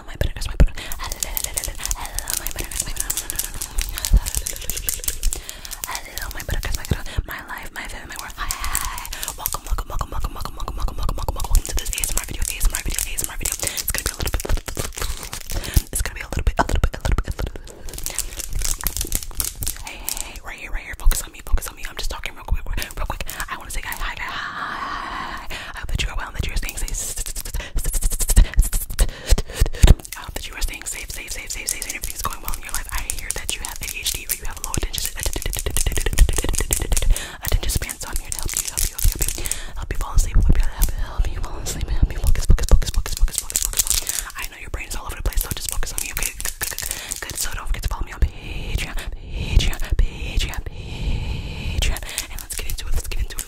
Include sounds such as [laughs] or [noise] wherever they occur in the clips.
Hello, my bananas, my bananas. Hello, my bananas, my bananas. Hello, my bananas, my bananas. My life, my family, my world. Hi, hi, hi. Welcome, welcome, welcome, welcome, welcome, welcome, welcome, welcome, welcome, welcome to this ASMR video, ASMR video, ASMR video. It's gonna be a little bit. It's gonna be a little bit, a little bit, a little bit, a little bit. Hey, hey, hey, right here, right here. Focus on me, focus on me. I'm just talking real quick, real quick. I want to say hi, hi, hi, hi. I hope that you are well and that you are staying safe. I hope that you are staying safe, safe, safe, safe, safe, and everything's going well in your life. I hear that you have ADHD or you have low attention attention span, so I'm here help you, help you, help you, help you fall asleep, help you, help you fall asleep, help you focus, focus, focus, focus, focus, focus, focus. I know your brain is all over the place, so just focus on me, okay? Good. So don't forget to follow me on Patreon, Patreon, Patreon, Patreon, and let's get into it. Let's get into it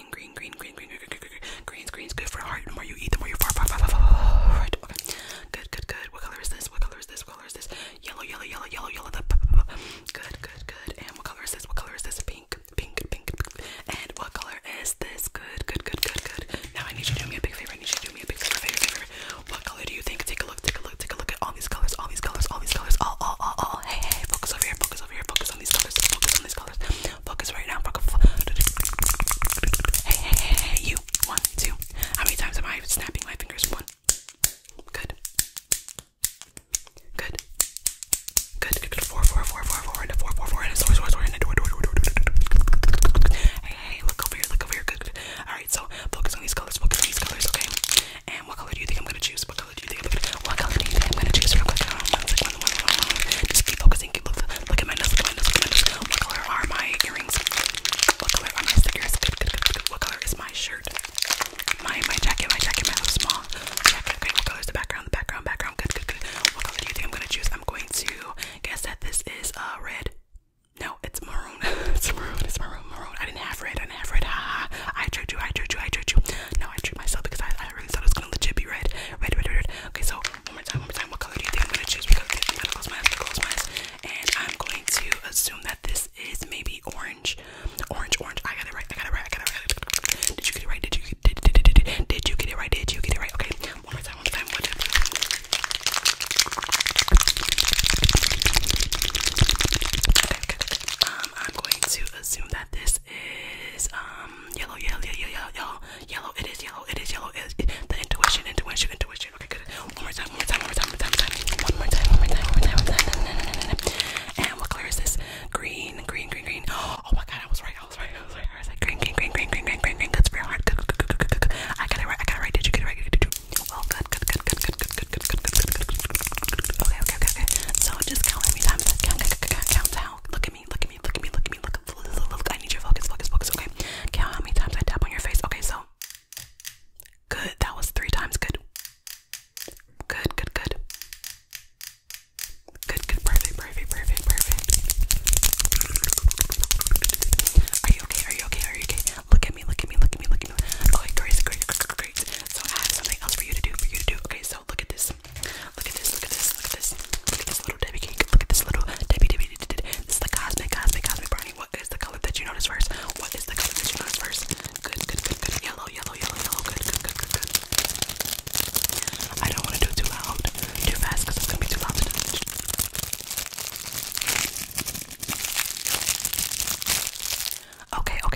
green, green, green, green, green, green, green, green, greens, greens, good for heart. The more you eat, the more you far, far, far, far, far, right? Okay, good, good, good. What color is this? What color is this? What color is this? Yellow, yellow, yellow, yellow, yellow. The good, good, good. And what color is this? What color is this? Pink, pink, pink. And what color is this? Good, good, good, good, good. Now I need you to do me a big favor. I need you to do me a big favor, favor, favor. What color do you think? Take a look, take a look, take a look at all these colors, all these colors, all these colors, all, all, all, all. Hey, hey, focus over here, focus over here, focus focus on these colors. Focus on these colors. Focus right now. Hey, you. One, two. How many times am I snapping my fingers? One. Good. Good. Good. Good. Good. Four, four, four, four, four, and a four, four, four, and door, door, door, door, door. Hey, look over here. Look over here. Good. All right. So focus on these colors. Focus on these colors. Okay. And what color do you think I'm gonna choose? good. You think I'm gonna choose real quick. Just keep focusing. Look at my nose. Look at my nose. What color are my earrings? What color are my stickers? Good, good, good, What color is my shirt? My my jacket. My jacket. My little small jacket. Okay. What color is the background? The background. Background. Good, good, good. What color do you think I'm gonna choose? I'm going to guess that this is uh, red. No, it's maroon. [laughs] it's maroon. It's maroon. Maroon. I didn't have red. I didn't have red. Ha I chose you. I chose you. I chose you. No, I tricked myself because I, really thought it was gonna legit be red. Red, red, red, Okay, so one more time, one more time. What color do you think I'm gonna choose? close my eyes, close my eyes. And I'm going to assume that this is maybe orange. Orange, orange. I got it right, I got it right, I got it right. Did you get it right? Did you did, did, did, did, did you get it right? Did you get it right? Okay, one more time, one more time, Okay, um, I'm going to assume that this is um um yellow, yellow, yellow, yellow, yellow, yellow. It is yellow. It is yellow. It is it, the intuition, intuition, intuition. Okay, good. One more time. One more time. One more time. One more time. One more time. One more time. One more time. One more time. One more time. And what color is this? Green. Green. Green. Green. Oh my God! I was right. I was right. I was right. I was right. Green. Green. Green. Green. Green. Green. Green. Green. That's very hard. Good. Good. Good. Good. Good. Good. I got it right. I got it right. Did you get it right? Did you? Well, good. Good. Good. Good. Good. Good. Good. Good. Good. Good. Good. Good. Good. Good. Okay. Okay. Okay. Okay. So just count how many times. Count. Count. Count. Count. Count. Look at me. Look at me. Look at me. Look at me. Look. Look. look, look. I need your focus. Focus. Focus. Okay. Count how many times I tap on your face. Okay. So. Good. That was three times. Good. Good. Good. Good. Good. Good. Perfect. Perfect. Perfect. Perfect. Are you okay? Are you okay? Are you okay? Look at me. Look at me. Look at me. Look at me. Okay. Great. Great. Great. Great. So I have something else for you to do. For you to do. Okay. So look at this this. Look at this, look at this, look at this. Look at this little Debbie cake. Look at this little Debbie Debbie. Debbie. This is the cosmic, cosmic, cosmic brownie. What is the color that you notice first? What is the color that you notice first? Good, good, good, good. Yellow, yellow, yellow, yellow. Good, good, good, good, good. I don't want to do it too loud, too fast, because it's going to be too loud to do. Okay, okay,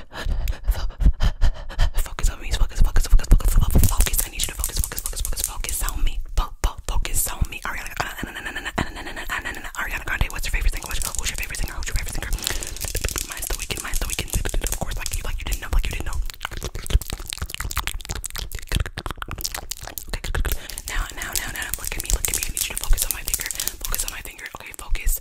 Focus on me. Focus, focus, focus, focus, focus, focus. I need you to focus, focus, focus, focus, focus on me. Focus on me. Ariana, Ariana Grande. What's your favorite singer? Who's your favorite singer? Who's your favorite singer? Mine's the weekend. Mine's the weekend. Of course, like you, like you didn't know, like you didn't know. Okay, now, now, now, now. Look at me. Look at me. I need you to focus on my finger. Focus on my finger. Okay, focus.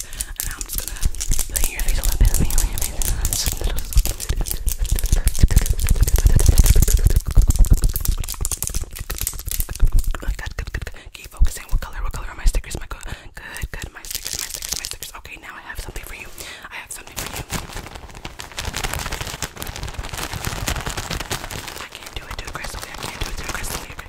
i Keep focusing. What color? What color are my stickers? My good, good, good. My stickers, my stickers, my stickers. Okay, now I have something for you. I have something for you. I can't do it too Crystal. I can't do it too aggressively. Okay.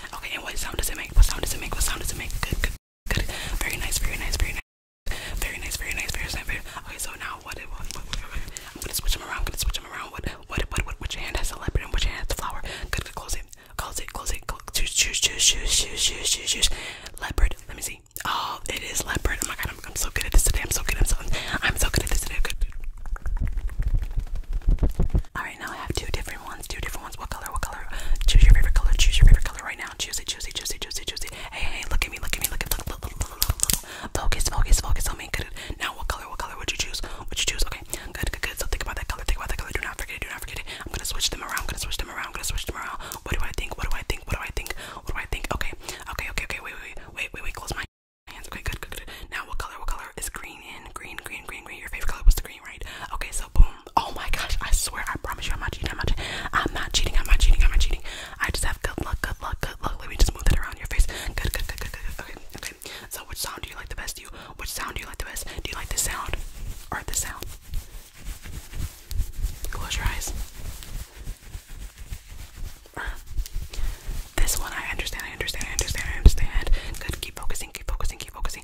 Okay, and what sound does it make? What sound does it make? What sound does it make? Good, good, good. Very nice, very nice, very nice. Very nice, very nice, very nice. Very nice. Okay, so now what, what, what, what, what? I'm gonna switch them around. I'm gonna switch them around. What, what, what, what? Which hand has the leopard and which hand has the flower? Good, good. Close it. Close it. Close it. Close. Choose, choose, choose, choose, choose, choose, choose, choose. Leopard. Let me see. Oh, it is leopard. Oh my god, I'm, I'm so good at this today. I'm so good. I'm so, I'm so good at this today. Good. All right right now. I have two different ones, two different ones. What color? What color? Choose your favorite color. Choose your favorite color right now. Choose it. Choose it. Choose it. Choose it. Choose it. Hey, hey! Look at me! Look at me! Look at look look look look look. look. Focus, focus, focus on me. Good. Now, what color? What color would you choose? Would you choose? Okay, good, good, good. So think about that color. Think about that color. Do not forget it. Do not forget it. I'm gonna switch them around. I'm gonna switch them around. I'm gonna switch them around. What do I think? What do I think? What do I think? What do I think? Okay, okay, okay, okay. Wait, wait, wait, wait, wait. Close my hands. Okay, good, good, good. Now, what color? What color is green? In green, green, green, green. Your favorite color was the green, right? Okay, so boom oh my gosh, I swear, I promise you, I'm not cheating. I'm not cheating. I'm not cheating. I'm not cheating. I'm not cheating. I just have good luck. Good luck. Good luck. Let me just move that around your face. Good. Good. Good. Good. good. Okay. Okay. So, which sound do you like the best? Do you which sound do you like the best? Do you like this sound or this sound? Close your eyes. this one, I understand. I understand. I understand. I understand. Good. Keep focusing. Keep focusing. Keep focusing.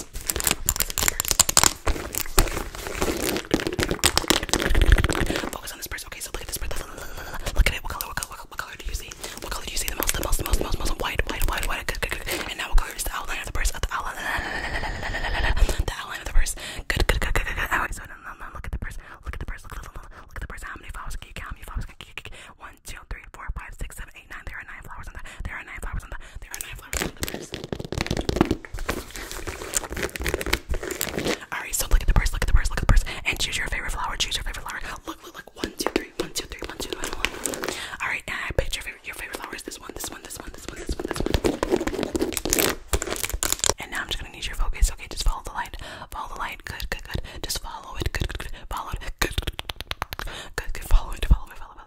numbers. Focus on this person. Okay, so look at this person. Look at it. What color? What color? What color do you see? What color do you see the most? The most. The most. The most. The most. White. White. White. White. Good. Good. Good. And now what color is the outline of the person? The outline. The outline of the person. Good. Good. Good. Good. Good. Alright. So now look at the person. Look at the person. Look at the person. How many flowers can you count? How many flowers can you count? One, two, three, four, five, six, seven seven, eight, nine. There are nine flowers on the. There are nine flowers on the. There are nine flowers on the purse. All right, so look at the purse. Look at the purse. Look at the purse, and choose your favorite flower. Choose your favorite flower. Look, look, look. One, two, three. One, two, three. One, two, three. One, two, three. All right, and I picked your favorite. Your favorite flower is this one. This one. This one. This one. This one. This one. And now I'm just gonna need your focus. Okay, just follow the light. Follow the light. Good. Good. Good. Just follow it. Good. Good. Good. Follow it. Good. Good. Good. Follow it. Follow it. Follow it.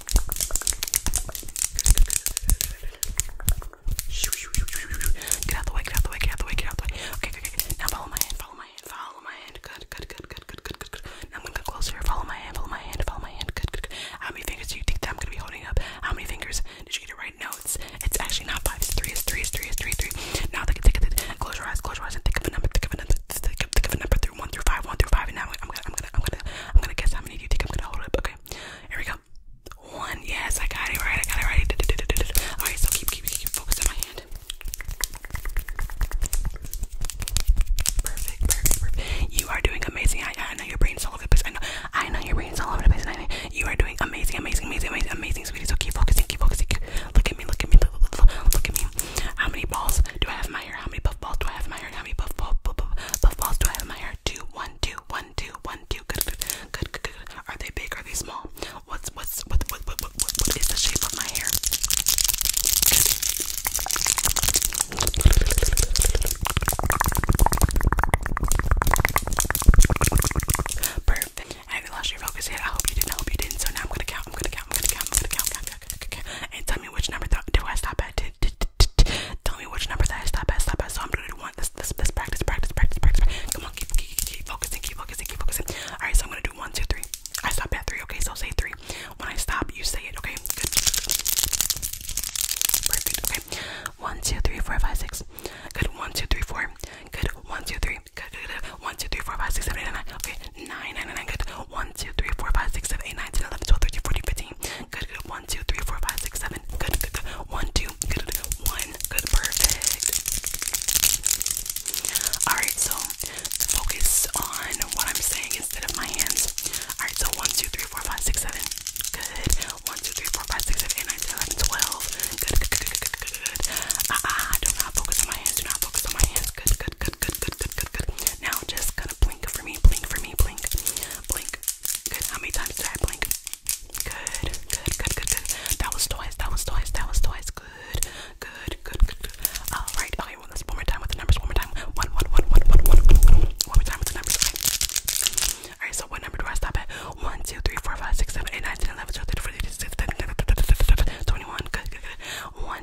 Get out the way, get out the way, get out the way, get out the way. Okay, okay, okay. Now follow my hand, follow my hand, follow my hand. Good, good, good, good, good, good, good, good. Now I'm gonna go closer. Follow my hand, follow my hand, follow my hand. Good, good, good. How many fingers do you think that I'm gonna be holding up? How many fingers? Did you get it right? No, it's it's actually not five, it's three, it's three, it's three, it's three, three. Now they can take it. Close your eyes, close your eyes, and think of a number, think of a number, think of a number through one through five, one through five, and now I'm gonna I'm gonna gonna, I'm gonna, I'm gonna guess how many do you think I'm gonna hold up? Okay, here we go. One. Yes, I got it right. I got it right. Du -du -du -du -du -du. All right, so keep, keep, keep focus on my hand. Perfect, perfect, perfect. You are doing amazing. I, I know your brain's all over the place. I know, I know your brain's all over the place. I know you are doing amazing, amazing, amazing, amazing, amazing, sweetie. So keep focusing, keep focusing. Keep, look at me, look at me, look, look, look, look at me. How many balls do I have in my hair? How many puff balls do I have in my iron? How many puff balls, puff balls do I have in my hair? Two, one, two, one, two, one, two. Good, good, good, good, good. Are they big? Are they small? What's what's what what what what, what, what is the shape of my hair? Perfect. I haven't lost your focus yet. I hope you didn't. I hope you didn't. So now I'm gonna count. I'm gonna count. I'm gonna count. I'm gonna count. I'm gonna count. I'm gonna count. I'm gonna count. And tell me which number do I stop at? Did Tell me which number that is. That best, that best. So I'm gonna do one. This, this, this. Practice, practice, practice, practice. Come on, keep, keep, keep focusing, keep focusing, keep focusing. All right, so I'm gonna do one, two, three. I stop at three. Okay, so say three. When I stop, you say it. Okay, good. Perfect. Okay. One, two, three, four, five, six. Good. One, two, three, four. Good. One, two, three. Good. One, two, three, four, five, six, seven, eight, nine. Okay. Nine, nine, nine, nine. Good. 1, 2, 3, 4, 5, 6, 7, 8, 9, 10, 11, 12, 13, 14, 15. Good, good. 1, 2, 3, 4, 5, 6, 7. Good, good, good. 1, 2, good, good. 1, good, perfect. Alright, so focus on what I'm saying instead of my hands. Alright, so 1, 2, 3, 4, 5, 6, 7. Good. 1, 2, 3, 4, 5, 6, 7, 8, 9, 10, 11, 12. Good, good, good, good, good, good. Ah, uh, uh, do not focus on my hands. Do not focus on my hands. Good, good, good, good, good, good, good, good, good. Now just kind of blink for me, blink for me, blink, blink. Good. How many times did I blink? Good, good, good, good, good. That was twice. That was twice. That was twice. Good, good, good, good. good. All right. Okay. Well, let's one more time with the numbers. One more time. One, one, one, one, one, one, one. One more time with the numbers. Okay. All right. So what number do I stop at? One, two, three, four, five, six, seven, eight, nine, ten, eleven, twelve, thirteen, fourteen, fifteen, sixteen, seventeen, eighteen, nineteen, twenty, twenty-one. Good, good, good. One,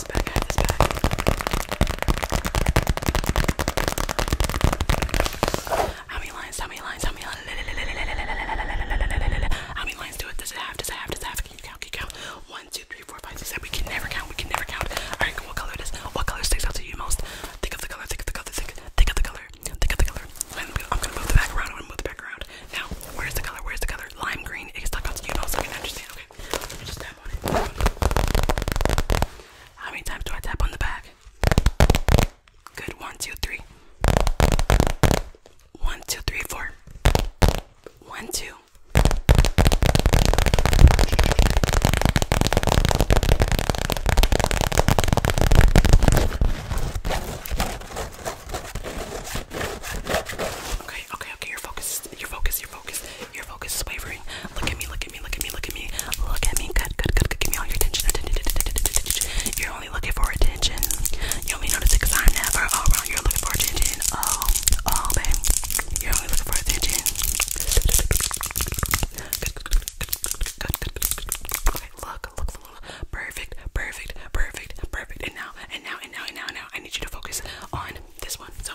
this back, I have this back. How many lines? How many lines? How many lines? How many lines do it? Does it have? Does it have? Does it have? Can you count? Can you count? One, two, three, four, five, six, seven. We can never count. We can never count. Alright, what color it is? What color sticks out to you most? Think of the color. Think of the color. Think. of the color. Think of the color. I'm gonna, move the back I'm gonna move the back Now, where's the color? Where's the color? Lime green. It stuck out to you most. How many times do I tap on the back? Good. One, two, three. One, two, three, four. One, two. Okay, okay, okay. Your focus, your focus, your focus. Your focus is wavering. Look at me, look at me, look at me, look at me. Look at me. Good, good, good, good. Give me all your attention. You're only looking for attention. You only notice it because I'm never around. You're looking for attention. Oh, oh, babe. You're only looking for attention. Good, good, good, good, good, good. Okay, look, look, look, look. Perfect, perfect, perfect, perfect. And now, and now, and now, and now, and now, I need you to focus on this one. So,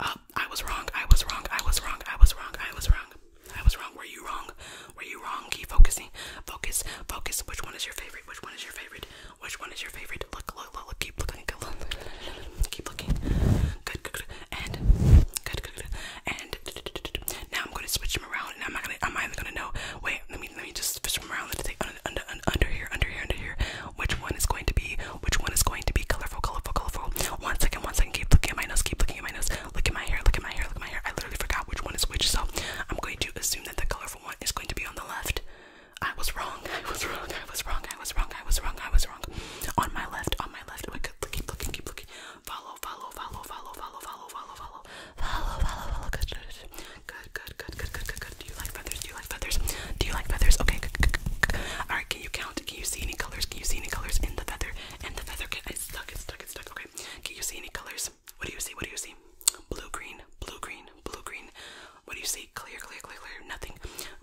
uh, I was wrong. I was wrong. I was wrong. I was wrong. I was wrong. I was wrong. Were you wrong? Were you wrong? Keep focusing. Focus. Focus. Which one is your favorite? Which one is your favorite? Which one is your favorite? Look. Look. Look. look. Keep looking. Good. Look. Keep looking. Good. Good. good. And good. Good. good. And now I'm going to switch them around, and I'm not gonna. I'm not even gonna know. Wait. Let me. Let me just switch them around. Let's take under, under, under here. Under here. Under here which one is going to be which one is going to be colorful, colorful, colorful. One second, one second, keep looking at my nose, keep looking at my nose, look at my hair, look at my hair, look at my hair. I literally forgot which one is which, so I'm going to assume that the colorful one is going to be on the left. I was wrong, I was wrong, I was wrong, I was wrong, I was wrong, I was wrong. On my left, on my left, we could keep looking, keep looking. Follow, follow, follow, follow, follow, follow, follow, follow. Follow, follow, follow. Good, good, good, good, good, good, good, good. Do you like feathers? Do you like feathers? Do you like feathers? Okay, good, good, good. Alright, can you count? Can you see any colors? Can you see any colors in the feather? And the feather can it's stuck, it's stuck, it's stuck. Okay. Can you see any colors? What do you see? What do you see? Blue, green, blue, green, blue, green. What do you see? Clear, clear, clear, clear. Nothing.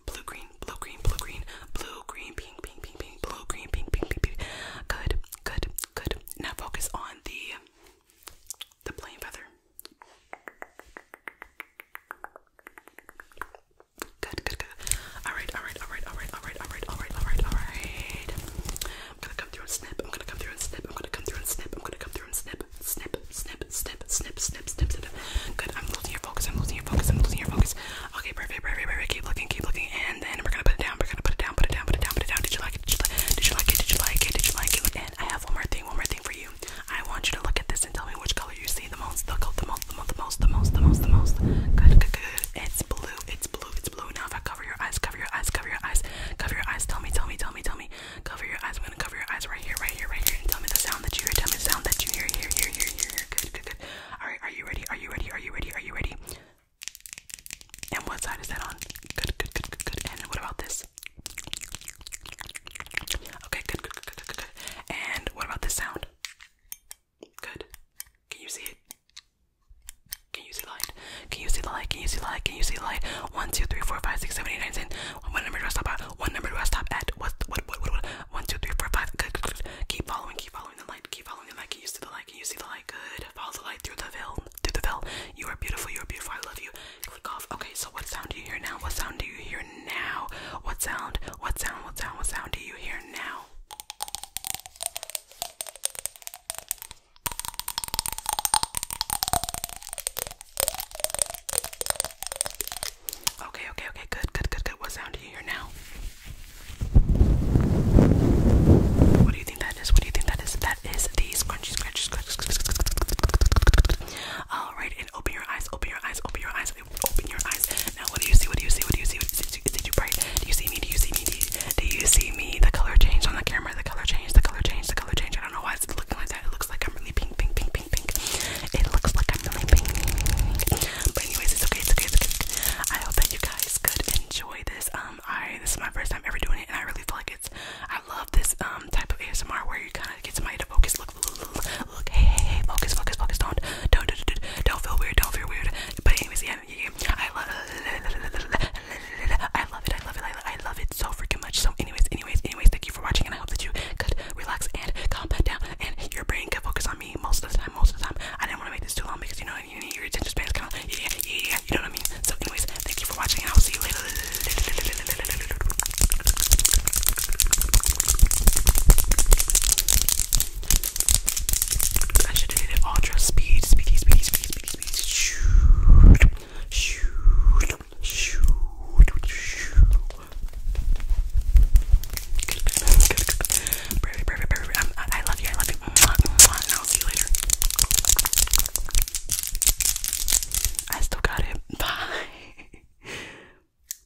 Blue, green, blue, green, blue, green, blue, green, pink, pink, pink, pink, blue, green, pink, pink, pink, pink. Good, good, good. Now focus on the the plain feather. Good, good, good. Alright, alright, alright, alright, alright, alright, alright, alright, alright. I'm gonna come through and snip, I'm gonna come through and snip, I'm gonna come through and snip, I'm gonna come through and snip, snip, snip, snip, snip, snip, snip, snip. Good, I'm losing your focus, I'm losing your focus, I'm losing your focus. Okay, perfect, perfect, perfect, keep looking, keep looking, and then we're gonna put it down, we're gonna put it down, put it down, put it down, put it down. Did you like it? Did you like it? Did you like it? Did you like it? Did you like it? And I have one more thing, one more thing for you. I want you to look at this and tell me which color you see the most, the, most, the most, the most, the most, the most, the most. Good, good, good. It's blue, it's blue, it's blue. Now if I cover your eyes, cover your eyes, cover your eyes, cover your eyes. Tell me, tell me, tell me, tell me. Cover your eyes. I'm gonna cover your eyes right here, right here, right here, and tell me the sound that you hear. Tell me the sound that you hear. Here, here, here, here, Good, good, good. All right, are you ready? Are you ready? Are you ready? Are you ready? And what side is that on? Good, good, good, good, good. And what about this? Okay, good, good, good, good, good, good. And what about this sound? Good. Can you see it? Can you see light? Can you see light? Can you see light? Can you see light? One, two, three, four, five, six, seven, eight, nine, ten. What number do I stop at? What number do I stop at? What? What? What? What? what? One, two, three, four, five. Good, good, good. Keep following. Keep following the light. Keep following the light. Can you see the light? Can you see the light? Good. Follow the light through the veil. Through the veil. You are beautiful. You are beautiful. I love you. Click off. Okay. So what sound do you hear now? What sound do you hear now? What sound? What sound? What sound? What sound do you hear now? Okay, okay, okay, good, good, good, good. What sound do you hear now? What do you think that is? What do you think that is? That is these crunchy scratches. All right, and open your eyes, open your eyes, open your eyes, Open your eyes. Now, what do you see? What do you see? What do you see? What do you see? Did you bright? Do you see me? Do you see me? Do you, see me? The color changed on the camera. The color changed. The color changed. The color changed. I don't know why it's looking like that. It looks like I'm really pink, pink, pink, pink, pink. It looks like I'm really pink. But anyways, it's okay. It's okay. It's okay. I hope that you guys could enjoy this. Um, I this is my first time ever doing it, and I really feel like it's. I love this um type of ASMR where you kind of get somebody to focus look, look, look, look, look, hey, hey, focus, focus, focus, don't, don't, don't, don't, don't feel weird, don't feel weird. But anyways, yeah, yeah, yeah. I love, it, I love it, I love, it so freaking much. So, anyways, anyways, anyways, thank you for watching, and I hope that you could relax and calm down, and your brain could focus on me most of the time. Most of the time, I didn't want to make this too long because you know you need your attention span is kind of yeah, yeah, you know what I mean. So, anyways, thank you for watching, and I'll see you later. I should have it ultra speed, speedy, speedy, speedy, speedy, speedy. Shoot, shoot, shoot, shoot. Perfect, perfect, perfect. Um, I love you, I love you. And I'll see you later. I still got it. Bye. [laughs]